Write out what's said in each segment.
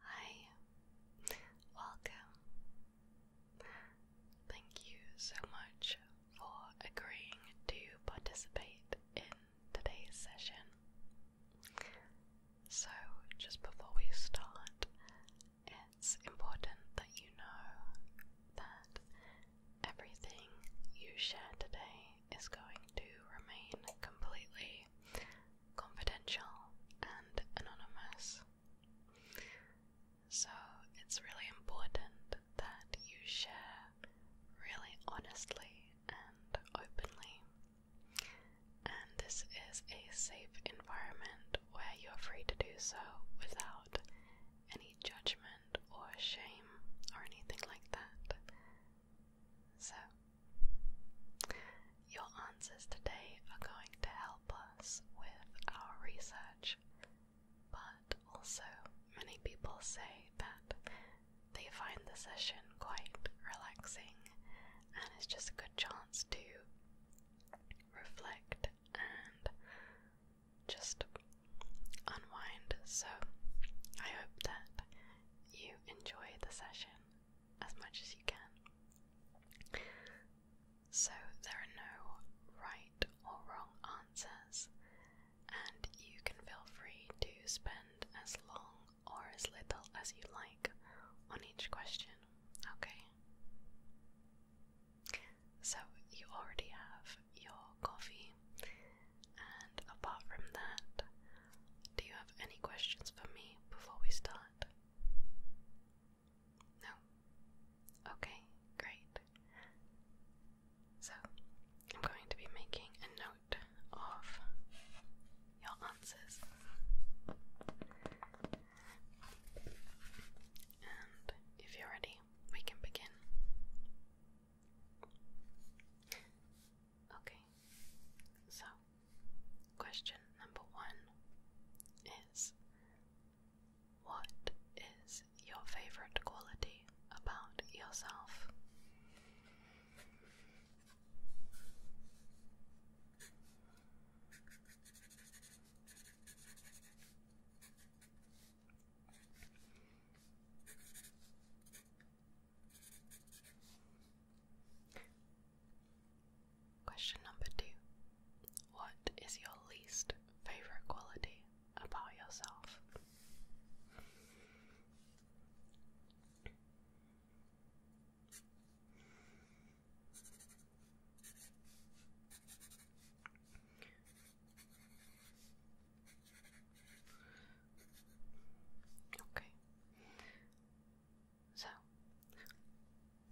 Hi, welcome. Thank you so much for agreeing to participate in today's session. So, just before we start, it's important that you know that everything you share today is going to remain completely confidential, and anonymous. So it's really important that you share really honestly and openly. And this is a safe environment where you're free to do so without any judgment or shame or anything like that. So, your answers today are going to help us with our research, but also many people say that they find the session quite relaxing and it's just a good chance to reflect and just unwind. So, I hope that you enjoy the session as much as you can. So there are no right or wrong answers, and you can feel free to spend as long or as little as you like on each question, okay? So you already have your coffee, and apart from that, do you have any questions for me before we start? No? Okay, great. So, I'm going to be making a note of your answers. And if you're ready, we can begin. Okay, so question number one is What is your favorite quality about yourself? Question number two What is your least favorite quality about yourself? Okay. So,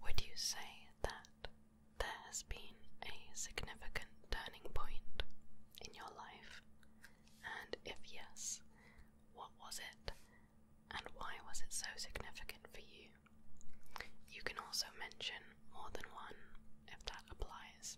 would you say that there has been a significant turning point in your life? And if yes, what was it? And why was it so significant for you? You can also mention more than one if that applies.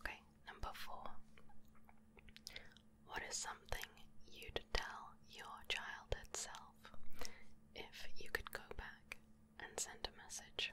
Okay, number four. What is something you'd tell your childhood self if you could go back and send a message?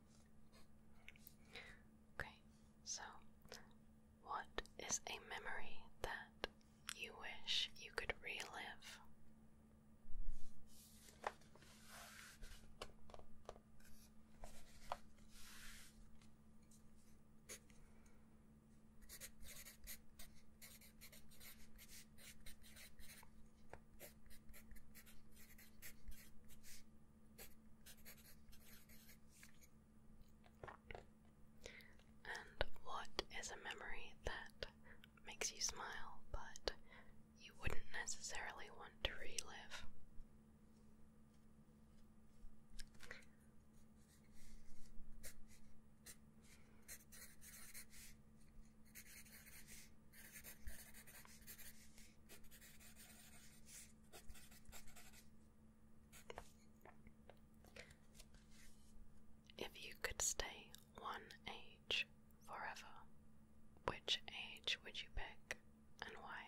Okay, so what is a memory that you wish you could relive? And what is a memory that makes you smile but you wouldn't necessarily want to relive? If you could stay one age forever, which age would you pick and why?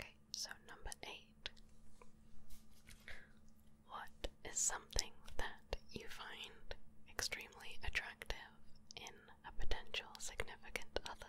Okay, so number eight. What is something that you find extremely attractive in a potential significant other?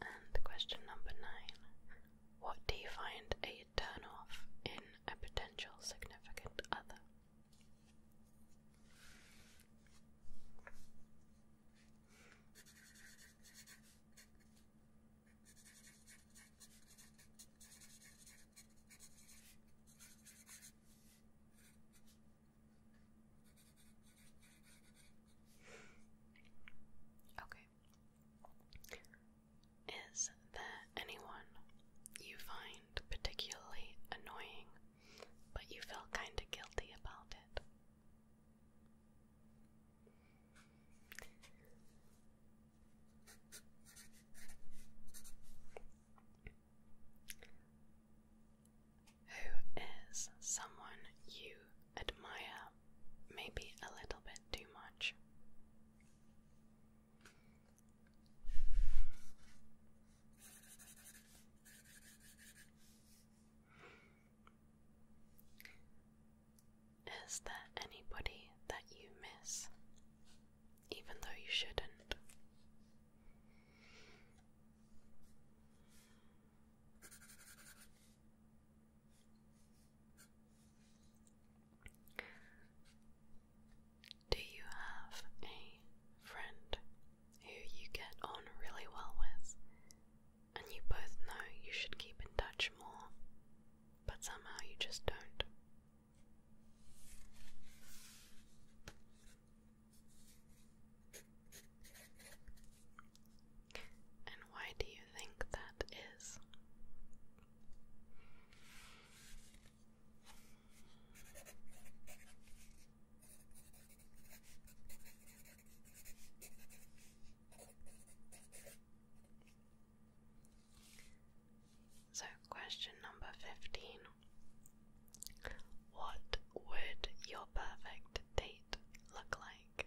And question number nine What do you find a turn off in a potential significant other? Okay. Is there anyone you find particularly annoying, but you feel kinda guilty about it? Who is someone you admire maybe a little bit too much. Is there anybody that you miss, even though you shouldn't? Do you have a friend who you get on really well with and you both know you should keep in touch more, but somehow you just don't? And why do you think that is? So, question number 15 What would your perfect date look like?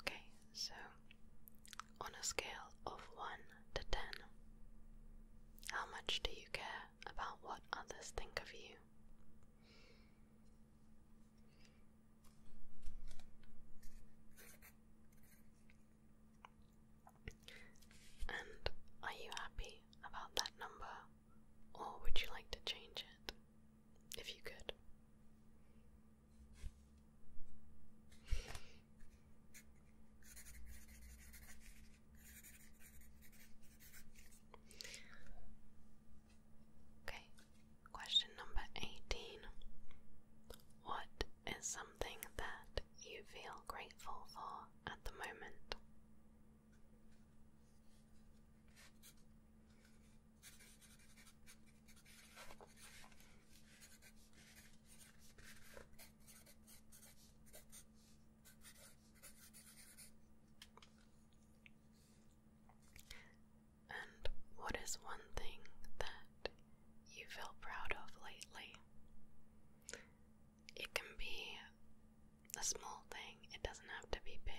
Okay, so on a scale of 1 to 10, how much do you care about what others think of you? And are you happy about that number, or would you like to change it if you could? Okay, question number 18. What is something that you feel grateful for at the moment? And what is one thing that you feel proud of lately? It can be a small thing, it doesn't have to be big.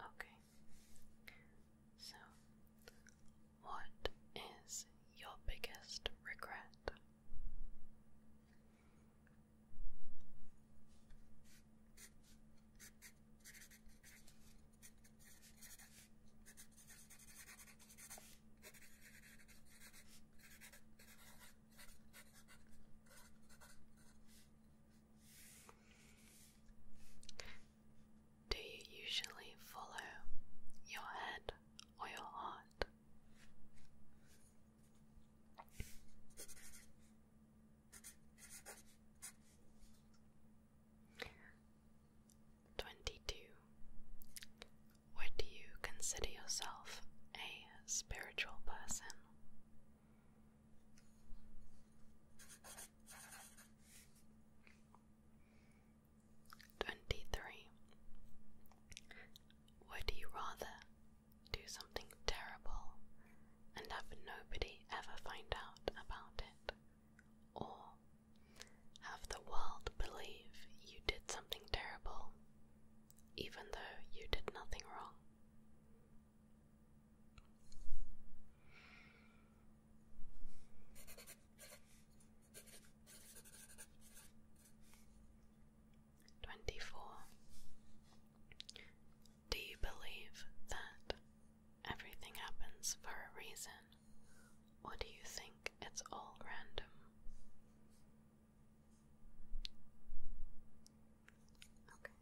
Okay, so, what is your biggest regret? Do you usually follow your head or your heart? Twenty two. Would you consider yourself a spiritual person? Twenty three. Would you rather do something terrible and have nobody ever find out about it? Or have the world believe you did something terrible even though you did nothing wrong? Twenty-four. Do you believe that everything happens for a reason, or do you think it's all random? Okay.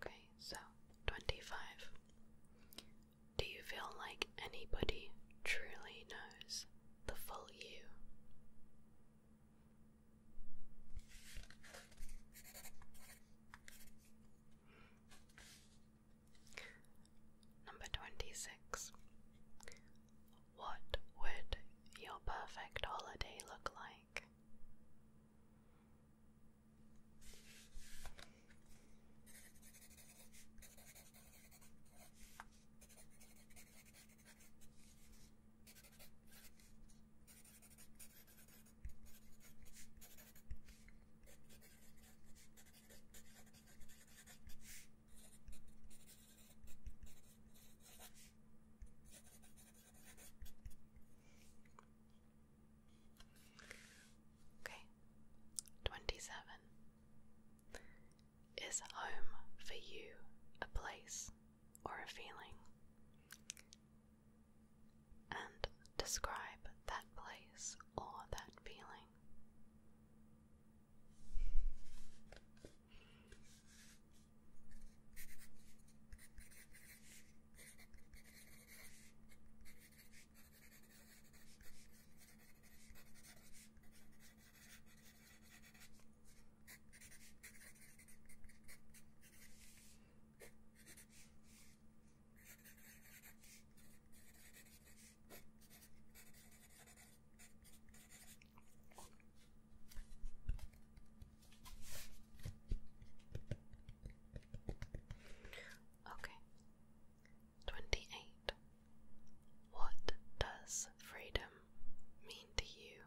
Okay, so 25. Do you feel like anybody truly knows the full you? Number 26. What would your perfect holiday look like? Okay, twenty seven. Is home for you a place or a feeling? And describe that place or that feeling. Okay, twenty eight. What does freedom mean to you?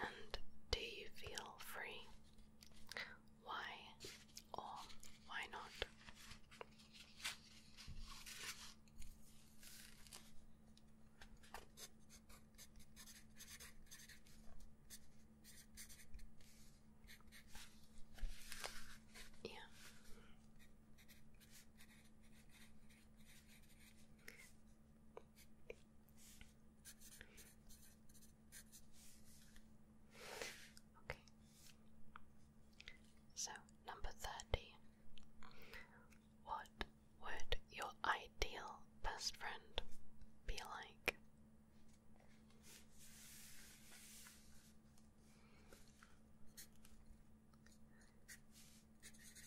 And do you feel free? Why or why not? Yeah. Okay. So, number 30. What would your ideal best friend be like?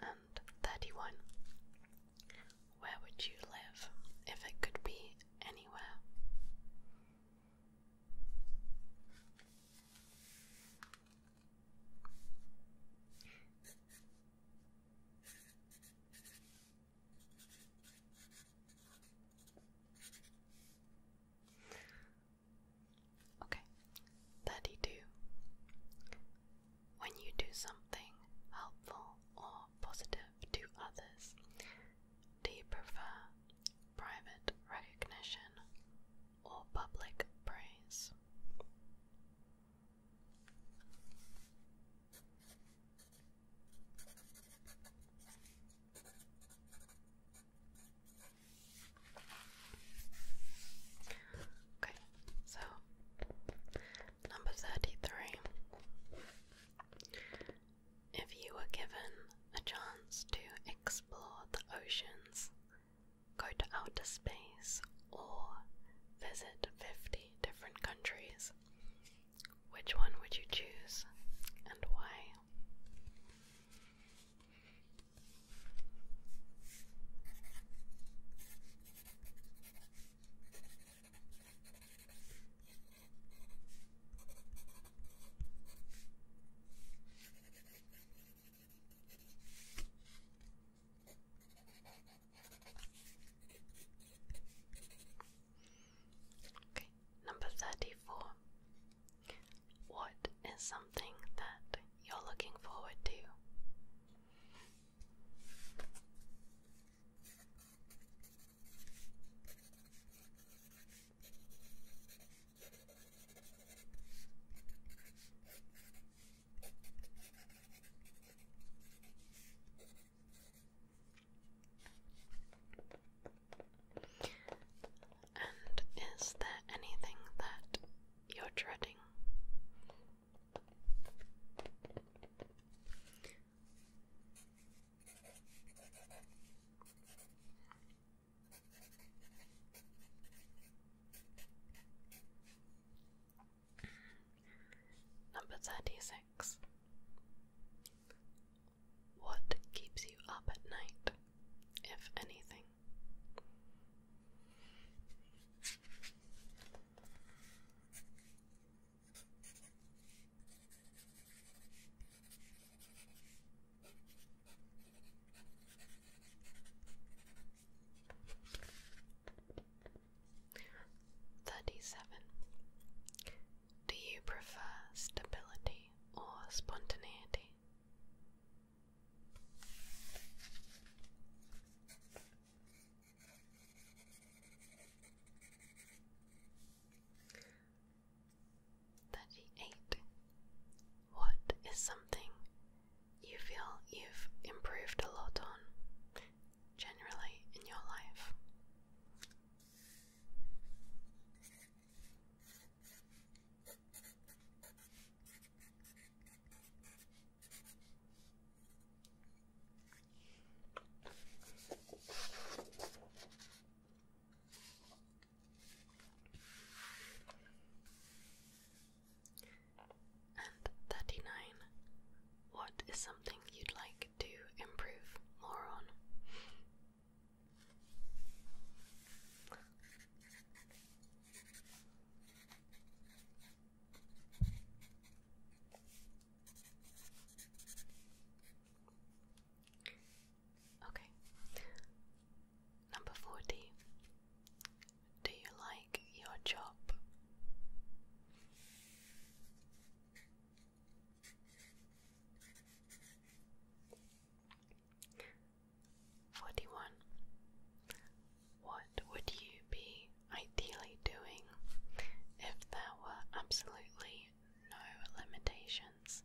And 31. Where would you live if it could be anywhere? Okay, 32. When you do something helpful or positive to others, do you prefer private recognition or public praise? Okay, so number 33. If you were given a chance to explore the oceans, go to outer space, or visit 50 different countries, which one would you choose and why? Okay, number 34. What is something that you're looking forward to? And is there anything that you're dreading? Number thirty six. What keeps you up at night, if anything? Thirty seven. Do you prefer stability or spontaneity? Thirty eight. What is something you feel you've improved a lot on generally in your life? and thirty nine what is something you'd like to improve more on? Okay. Number 40. Do you like your job? 41. What would you be ideally doing if there were absolutely no limitations?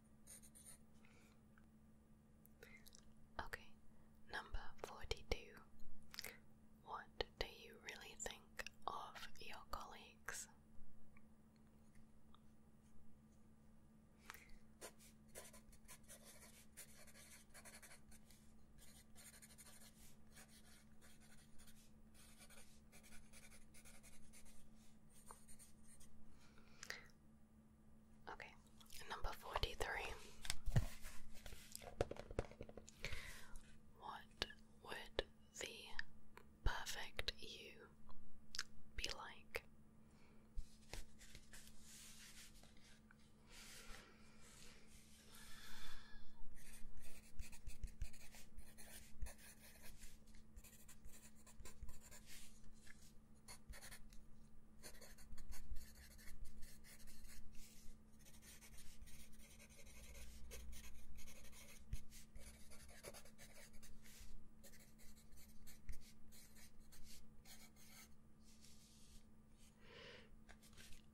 Okay, number 42. What do you really think of your colleagues? Okay, number 43. What would the perfect you be like?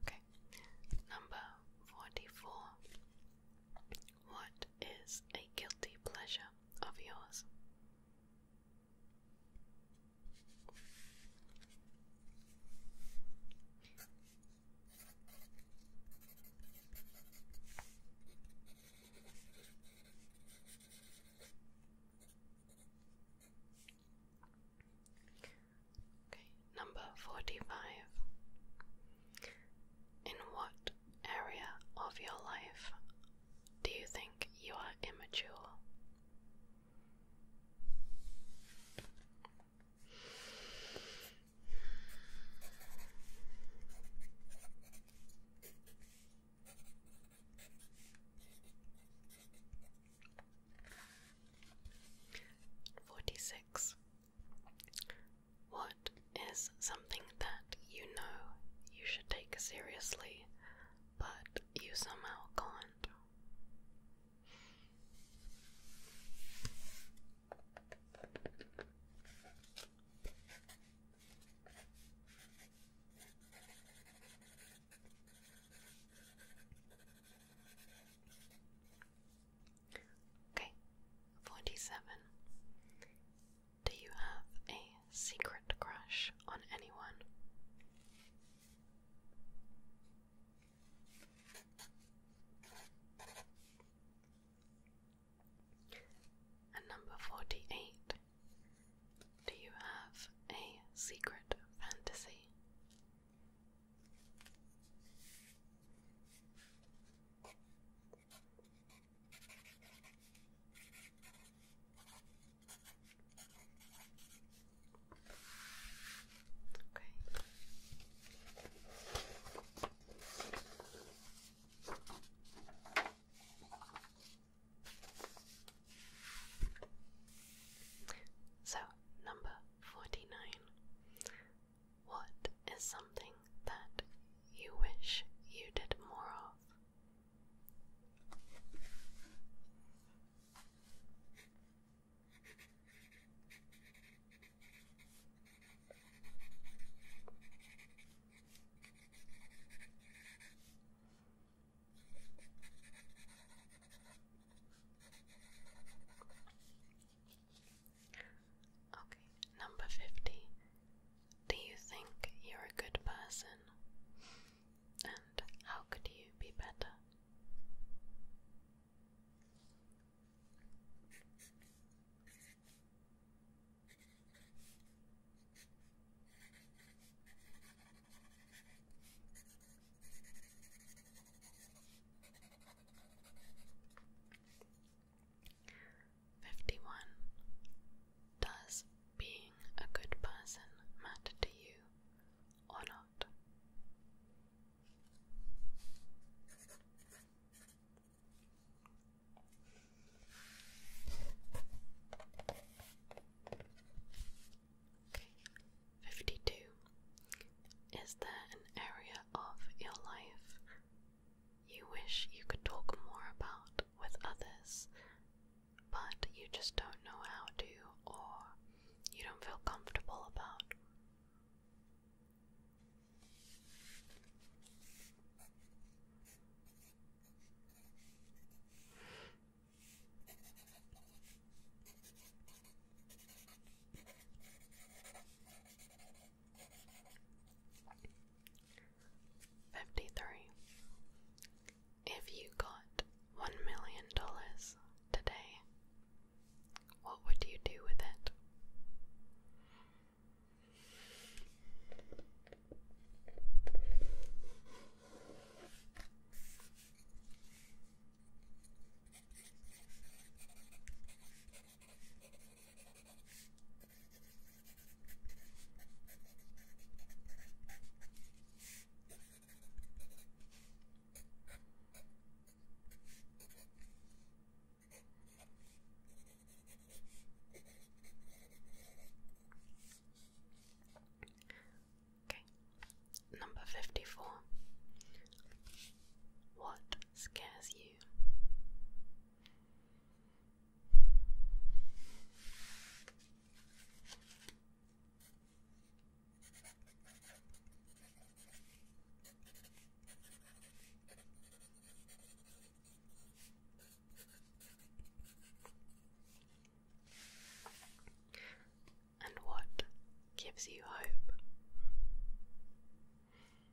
Okay, number forty four. What is a guilty pleasure? of yours. Okay, number forty five. In what area of your life do you think you are immature? Forty six. What is something that you know you should take seriously, but you somehow can't? Okay, forty seven. Do you have a secret crush on anyone? And number 48. Do you have a secret fantasy? So, number forty nine. What is something that you wish you did more of? Okay, number 50. Do you think you're a good person? And how could you be better? 51. Does being a good person matter to you or not? 52. Is there an area of your life you wish you could talk more about with others, but you just don't know how to, or you don't feel comfortable about. Fifty-three. If you got one million dollars today, what would you do with it? Okay, number fifty four. What scares you? And what gives you hope?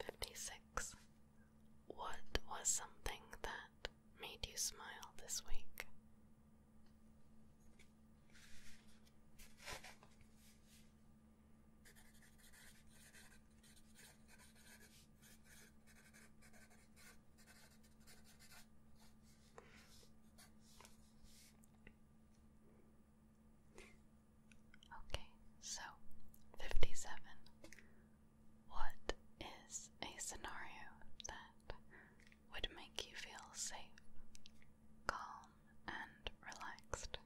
56. What was something that made you smile this week? Okay, so 57. What is a scenario that would make you feel safe, calm, and relaxed?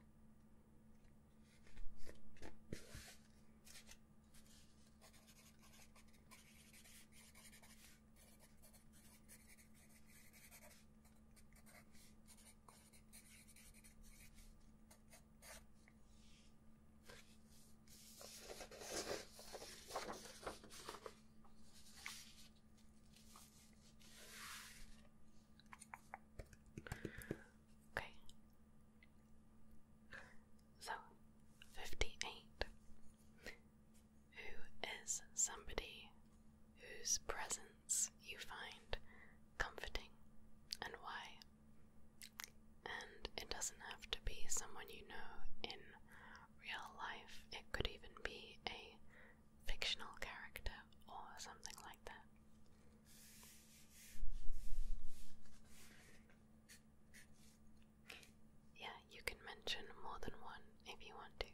Okay. So, fifty eight who is somebody whose presence you find comforting and why. And it doesn't have to be someone you know in real life, it could even be a fictional character or something like that. Yeah, you can mention more than one if you want to.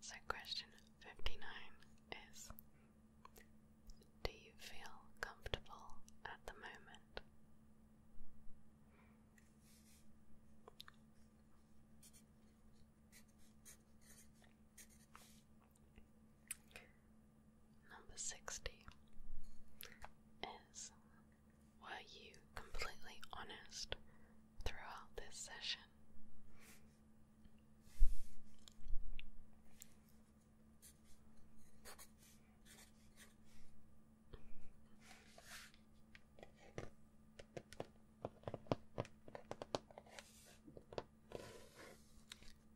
So, question 59 is Do you feel comfortable at the moment? Number 60 is Were you completely honest throughout this session.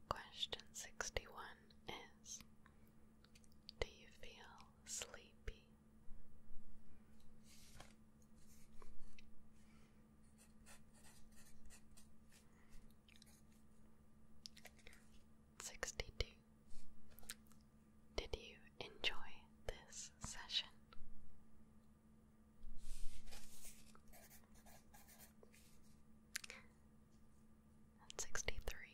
Question 61 is Do you feel sleepy? 62. Did you enjoy this session? 63.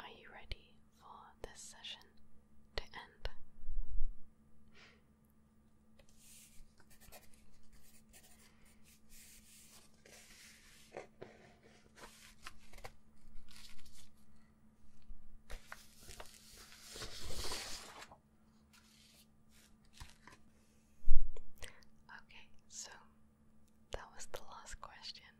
Are you ready for this session to end. Okay, so that was the last question.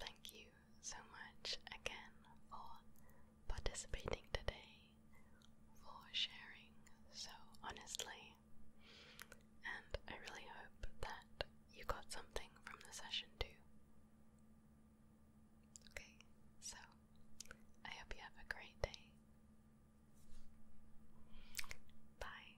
Thank you so much again for participating today, for sharing so honestly, and I really hope that you got something from the session too. Okay, so I hope you have a great day. Bye.